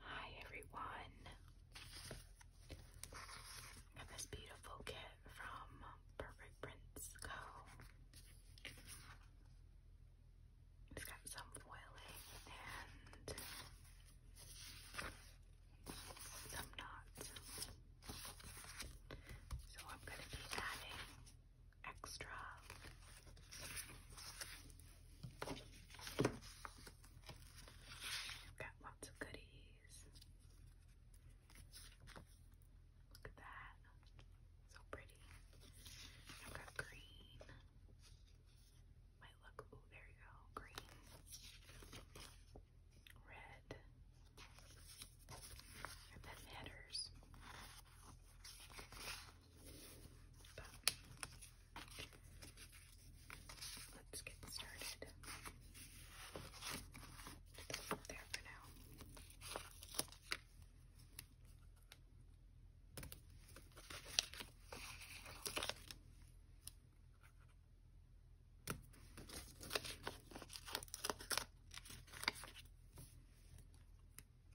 Hi everyone. Got this beautiful kit from Perfect Prints Co. It's got some foiling and some knots. So I'm going to be adding extra We've got lots of goodies. Look at that. So pretty. I've got green. Might look, oh, there you go. Green. Red. And then headers let's get started. There for now.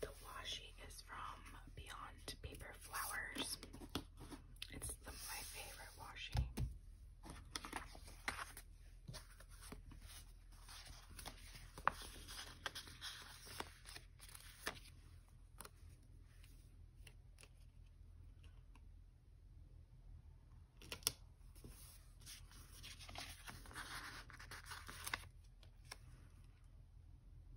The washi is from Beyond Paper Flowers. It's my favorite washi.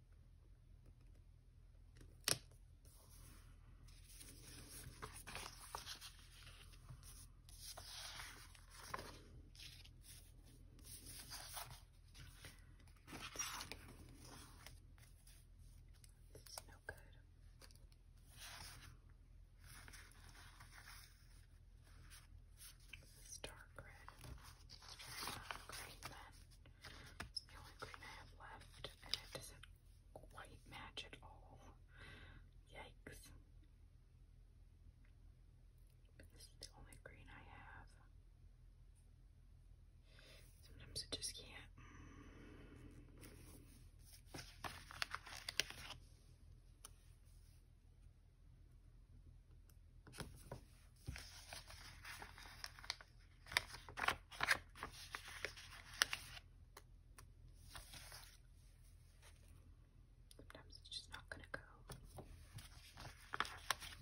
This is no good. This dark red. It's very it's the only green I have left, and it doesn't quite match at all. Yikes. this is the only green I have. Sometimes I just can't. Sometimes it's just not gonna go. Perfectly.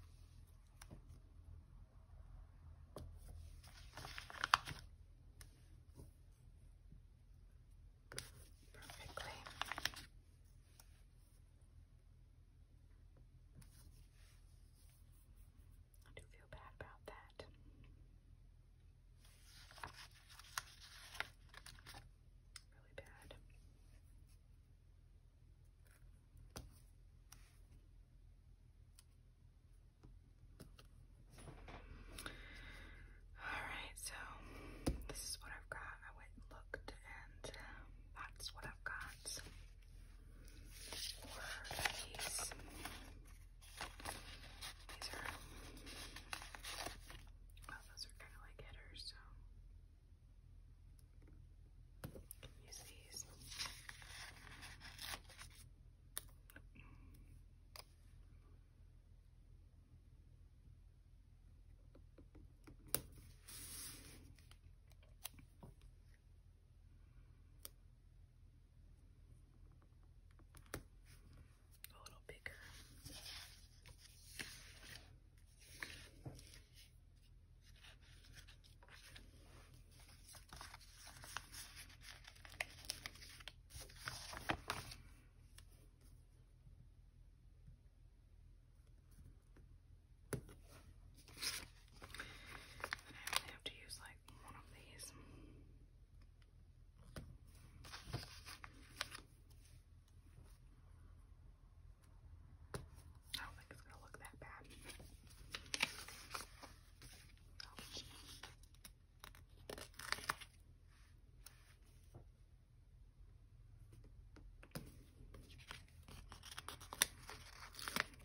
I do feel bad about that. Really bad. Alright, so this is what I've got. I went and looked, and um, that's what I've got or these. These are, well, those are kind of like headers, so you can use these. A little bigger. And I only have to use like one of these. I don't think it's going to look that bad.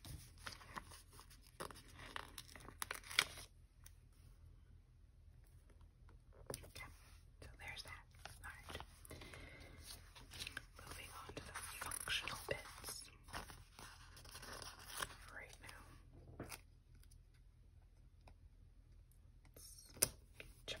Okay, so there's that. Alright. Moving on to the functional bits right now. Let's check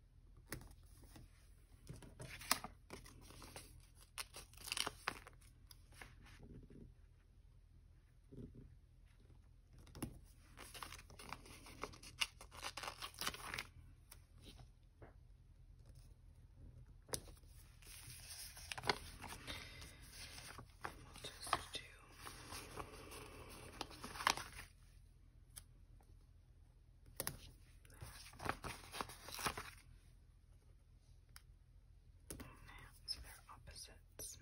We'll just do so they're opposites. Just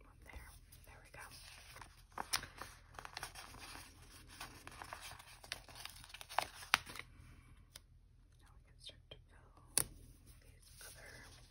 one there. There we go. Now we can start to fill these other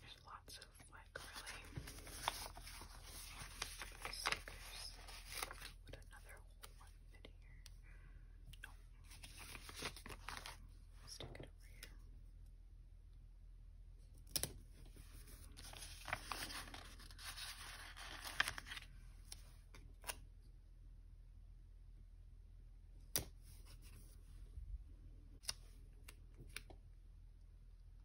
There's lots of like really stickers. Put another whole one in here. No. Stick it over here.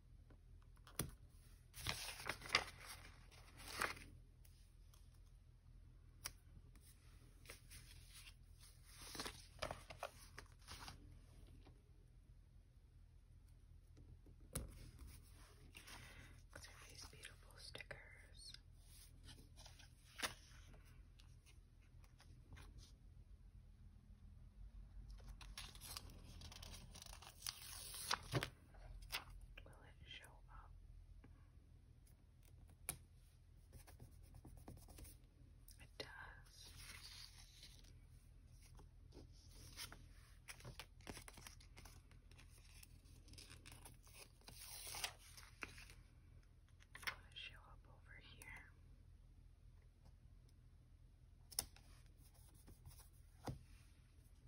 Look at these beautiful stickers. Will it show up? It does. Will show up over here?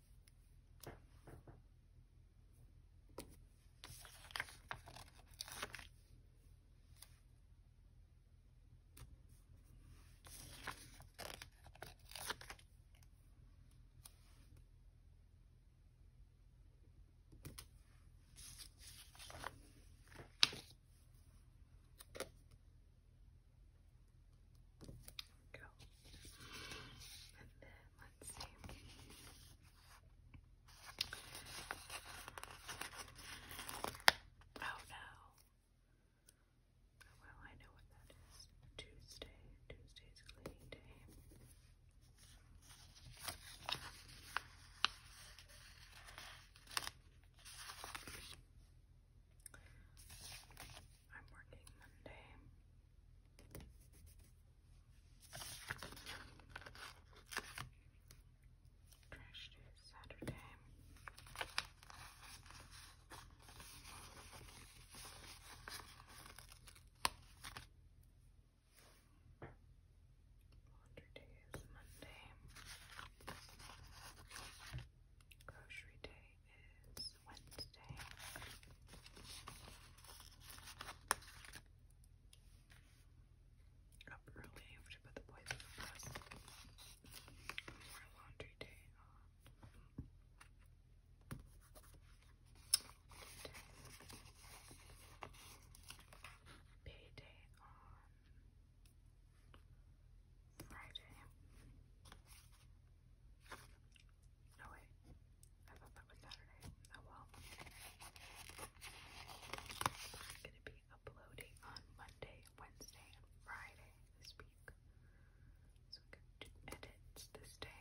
Go. And then Let's Oh no. Well, I know what that is. Tuesday. Tuesday's cleaning day. I'm working Monday. Trash day is Saturday. Laundry day is Monday. Grocery day is Wednesday today. Up early, to put the boys to the laundry day on. Uh, payday on Friday. No way. I thought that was Saturday. Oh well. gonna be uploading on Monday, Wednesday, and Friday this week. So i to edit this day.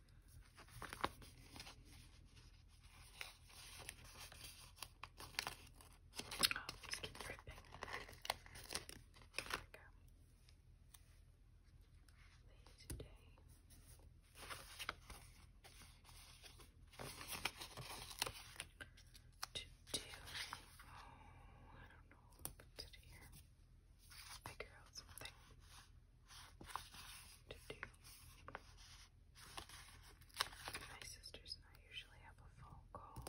Oh, these keep ripping. There we go. Lazy To do, oh, I don't know what to here. Figure out something to do. My sisters and I usually have a phone call.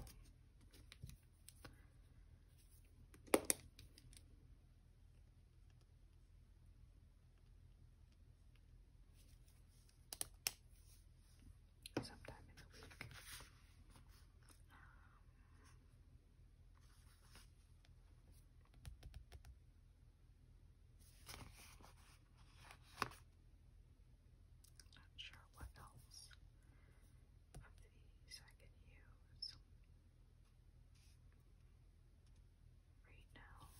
Sometime in the week. Not sure what else of these I can use right now.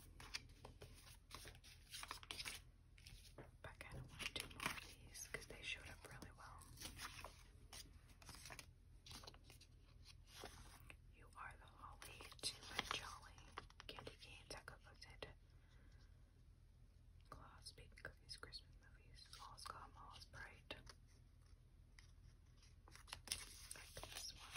But I kind of want to do more of these because they showed up really well. You are the holly to my jolly. Candy canes, echo-footed. Claws, baby cookies, Christmas movies. All's calm, all's bright. Like this one.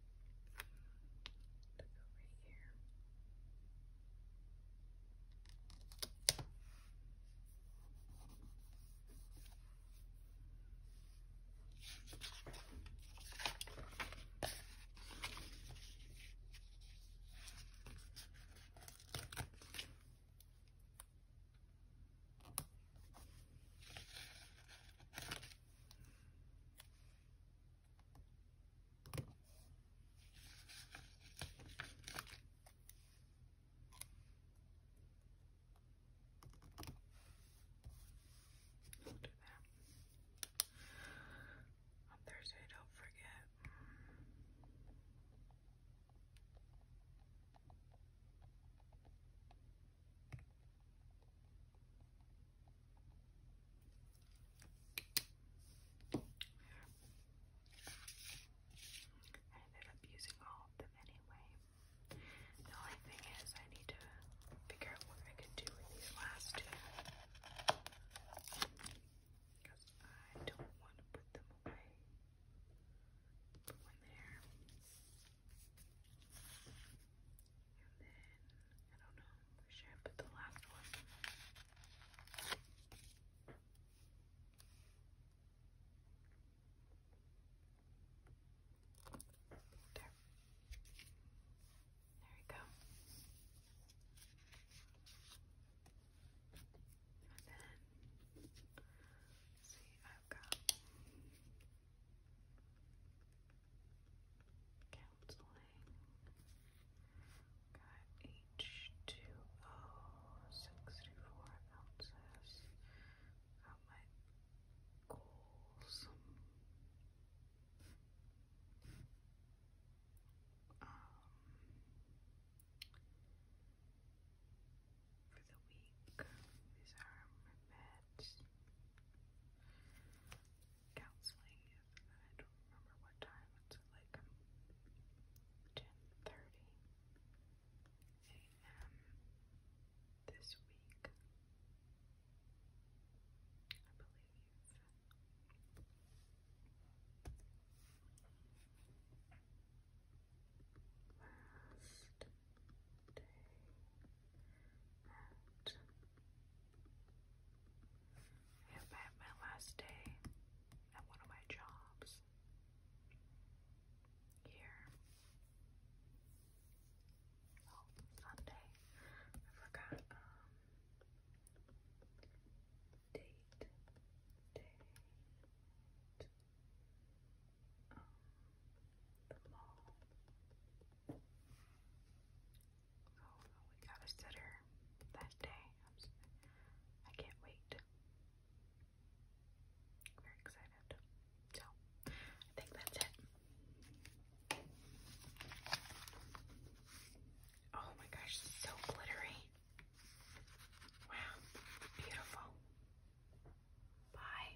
to go right here. I'll On Thursday, don't forget. I ended up using all of them anyway. The only thing is, I need to figure out what I can do with these last two. Because I don't want to put them away. Put one there. And then, I don't know, where should I put the last one? There. There we go. And then, see, I've got counseling. Got H2O, ounces. Got my goals. Um, for the week, these are my meds counseling. I don't remember what time. It's like 10:30 um, a.m. this week, I believe. Last day. And I have my last day at one of my jobs here. Oh, Sunday. I forgot um date. Date. Um, the mall. Oh, we got a sitter that day. i can't wait. I'm very excited. So, I think that's it. Oh my gosh, this is so glittery. Wow, beautiful. Bye.